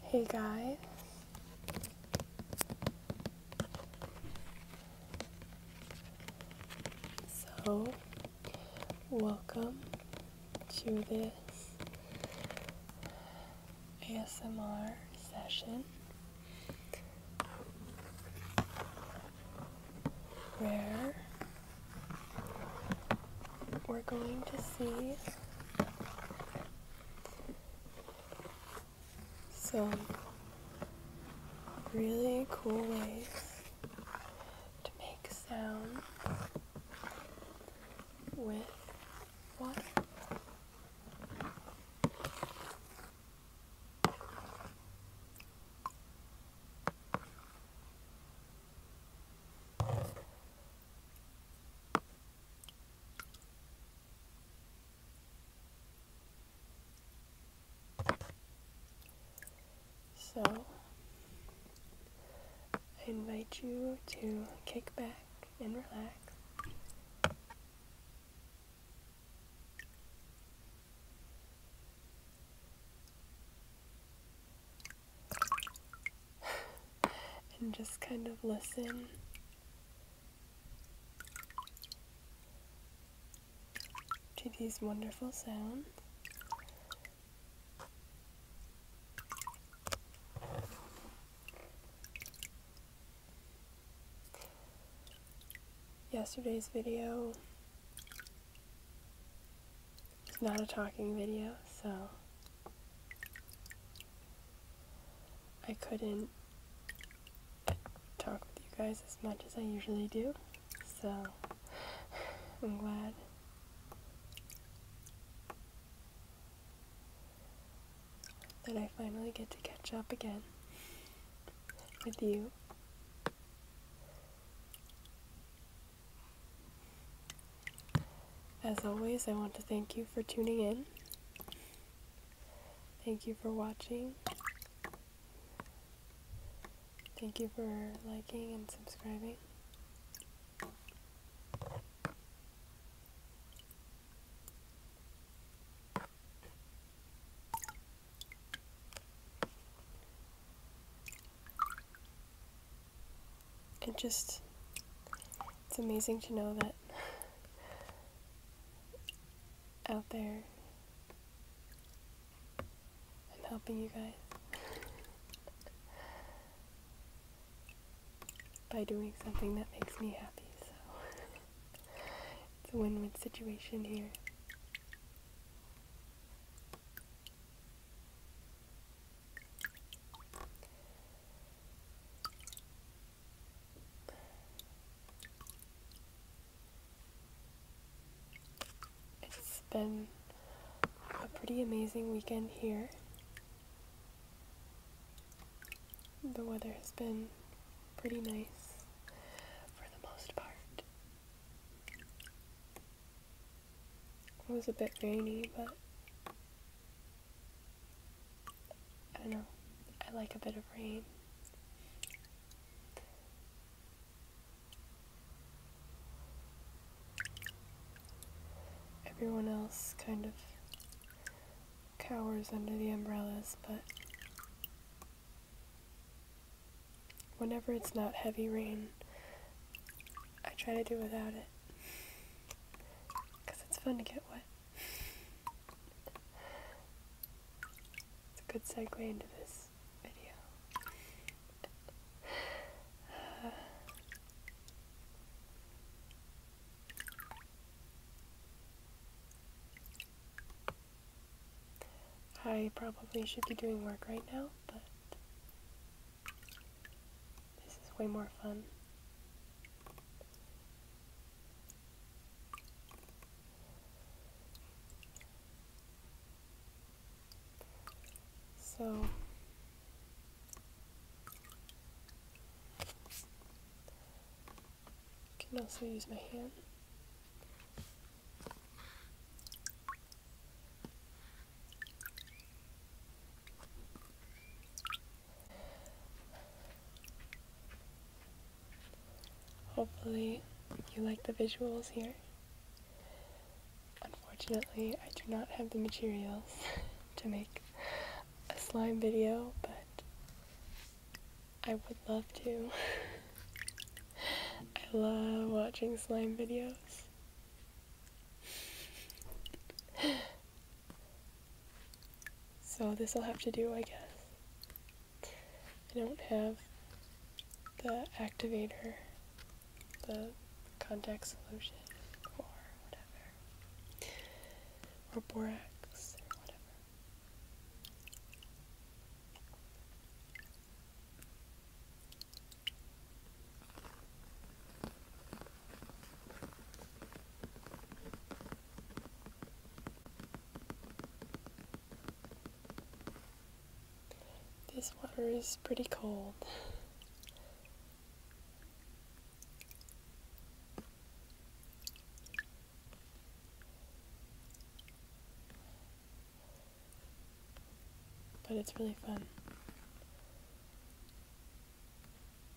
Hey guys. So, welcome to this ASMR session where we're going to see some really cool ways to make sound with water. So, I invite you to kick back and relax and just kind of listen. To these wonderful sounds. Yesterday's video is not a talking video, so I couldn't talk with you guys as much as I usually do, so I'm glad. That I finally get to catch up again with you. As always, I want to thank you for tuning in. Thank you for watching. Thank you for liking and subscribing it just it's amazing to know that out there I'm helping you guys by doing something that makes me happy so it's a win-win situation here it's been a pretty amazing weekend here. The weather has been pretty nice for the most part. It was a bit rainy, but I don't know. I like a bit of rain. Everyone else kind of cowers under the umbrellas, but whenever it's not heavy rain, I try to do without it. Because it's fun to get wet. it's a good segue into this video. I probably should be doing work right now, but this is way more fun. So can also use my hand. Hopefully, you like the visuals here. Unfortunately, I do not have the materials to make a slime video, but I would love to. I love watching slime videos. so this will have to do, I guess. I don't have the activator, the contact solution, or borax, or whatever. This water is pretty cold. But it's really fun.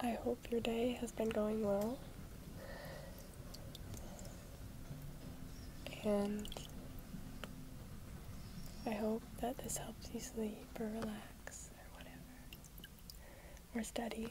I hope your day has been going well. And I hope that this helps you sleep or relax or whatever, or study.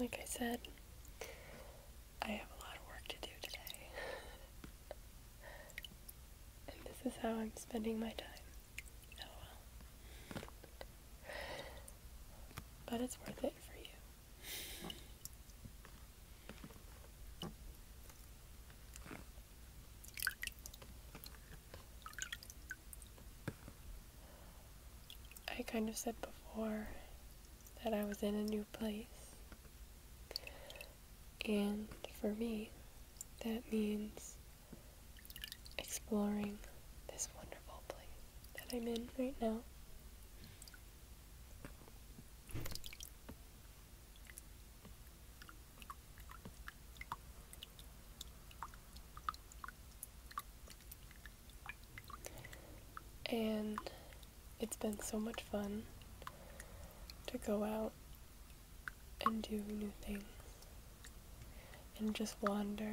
Like I said, I have a lot of work to do today. and this is how I'm spending my time. Oh, but it's worth it for you. I kind of said before that I was in a new place. And for me, that means exploring this wonderful place that I'm in right now. And it's been so much fun to go out and do new things and just wander.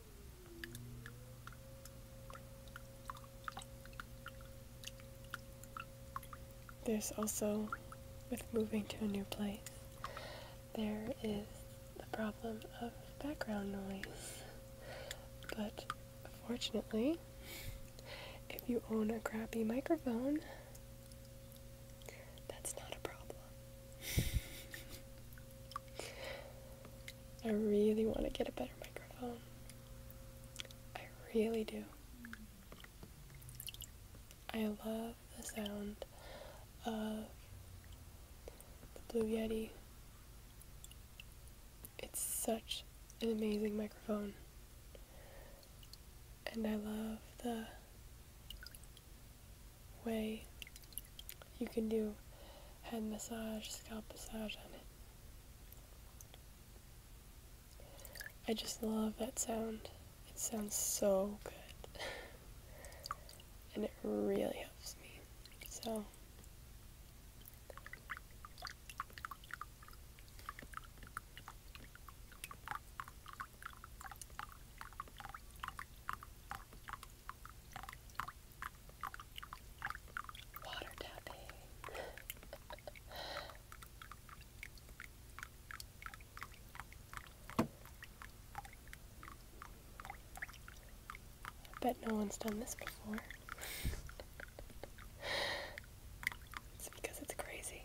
There's also, with moving to a new place, there is the problem of background noise. But fortunately, if you own a crappy microphone, that's not a problem. I really want to get a better microphone. I really do. I love the sound of the Blue Yeti. It's such an amazing microphone. And I love the way you can do head massage, scalp massage on it. I just love that sound. It sounds so good. and it really helps me. So. Water tapping. I bet no one's done this before. it's because it's crazy.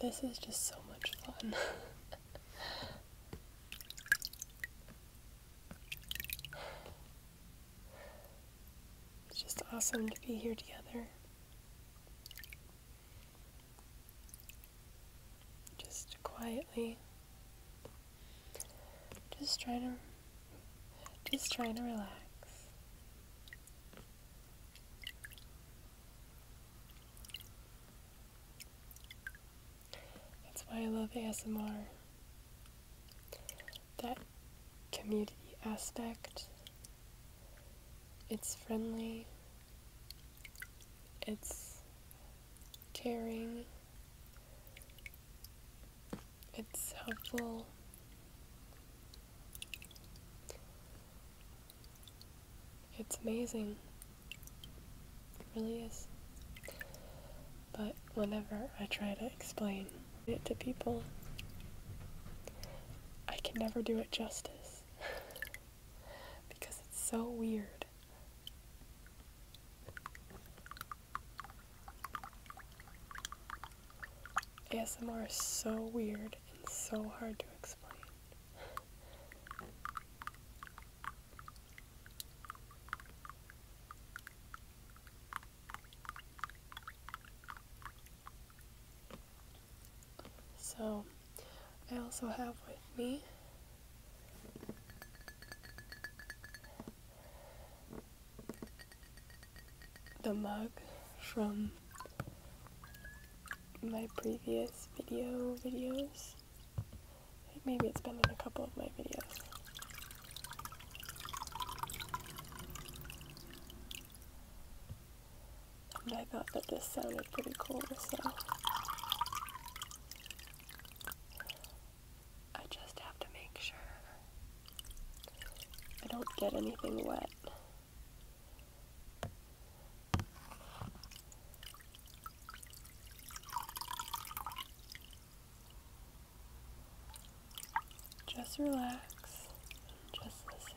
this is just so much fun. It's just awesome to be here together. Just quietly. Just trying to just trying to relax. That's why I love ASMR. That community aspect. It's friendly. It's caring. It's helpful. It's amazing. really is. But whenever I try to explain it to people, I can never do it justice. because it's so weird. ASMR is so weird and so hard to explain. So, I also have with me the mug from my previous video videos. Maybe it's been in a couple of my videos. And I thought that this sounded pretty cool, so I just have to make sure I don't get anything wet. Just relax and just listen.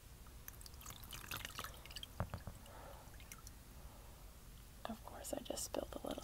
Of course, I just spilled a little.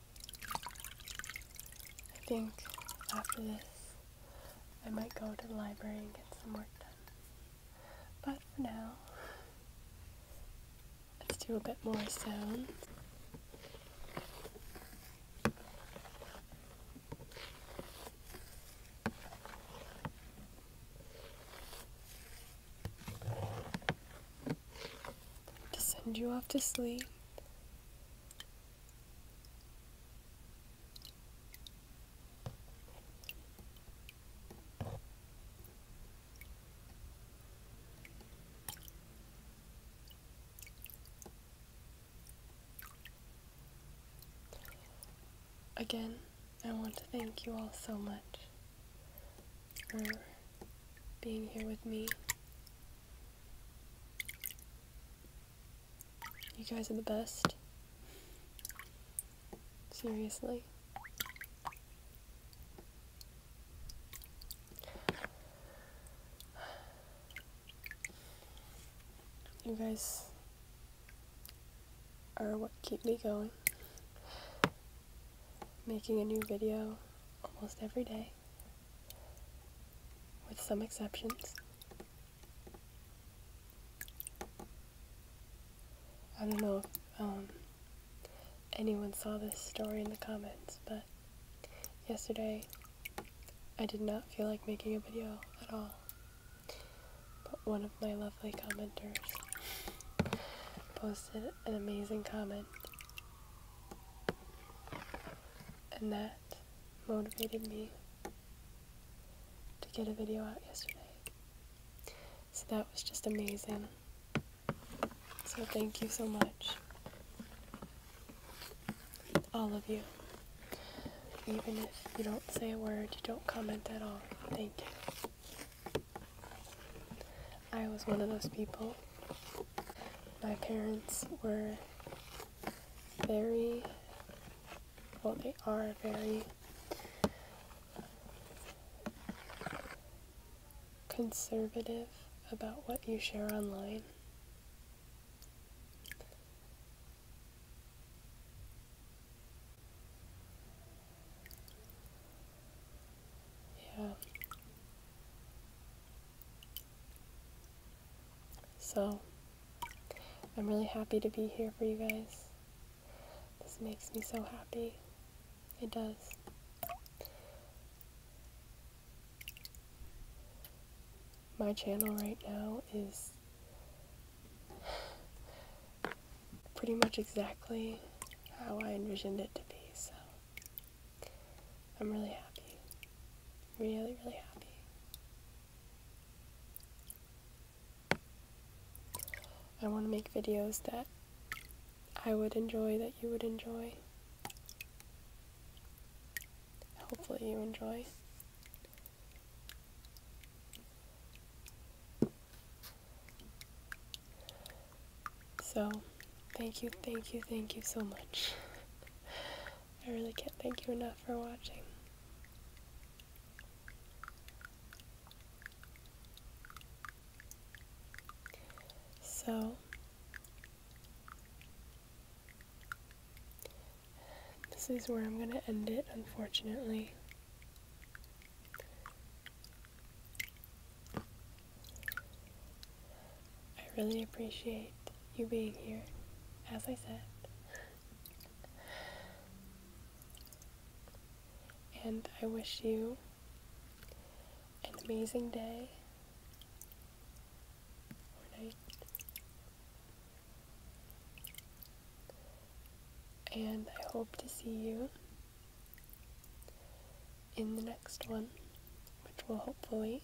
I think after this, I might go to the library and get some work done. But for now, let's do a bit more sound. To send you off to sleep. Again, I want to thank you all so much for being here with me you guys are the best. Seriously. You guys are what keep me going. Making a new video almost every day with some exceptions. I don't know if um, anyone saw this story in the comments, but yesterday I did not feel like making a video at all. But one of my lovely commenters posted an amazing comment and that motivated me to get a video out yesterday. So that was just amazing. So thank you so much. All of you. Even if you don't say a word, you don't comment at all. Thank you. I was one of those people my parents were very, well, they are very conservative about what you share online. Yeah. So, I'm really happy to be here for you guys. This makes me so happy. It does. My channel right now is pretty much exactly how I envisioned it to be, so I'm really happy. Really, really happy. I want to make videos that I would enjoy, that you would enjoy. Hopefully you enjoy. So, thank you, thank you, thank you so much. I really can't thank you enough for watching. So, this is where I'm going to end it, unfortunately. I really appreciate you being here, as I said. and I wish you an amazing day or night. And I hope to see you in the next one, which will hopefully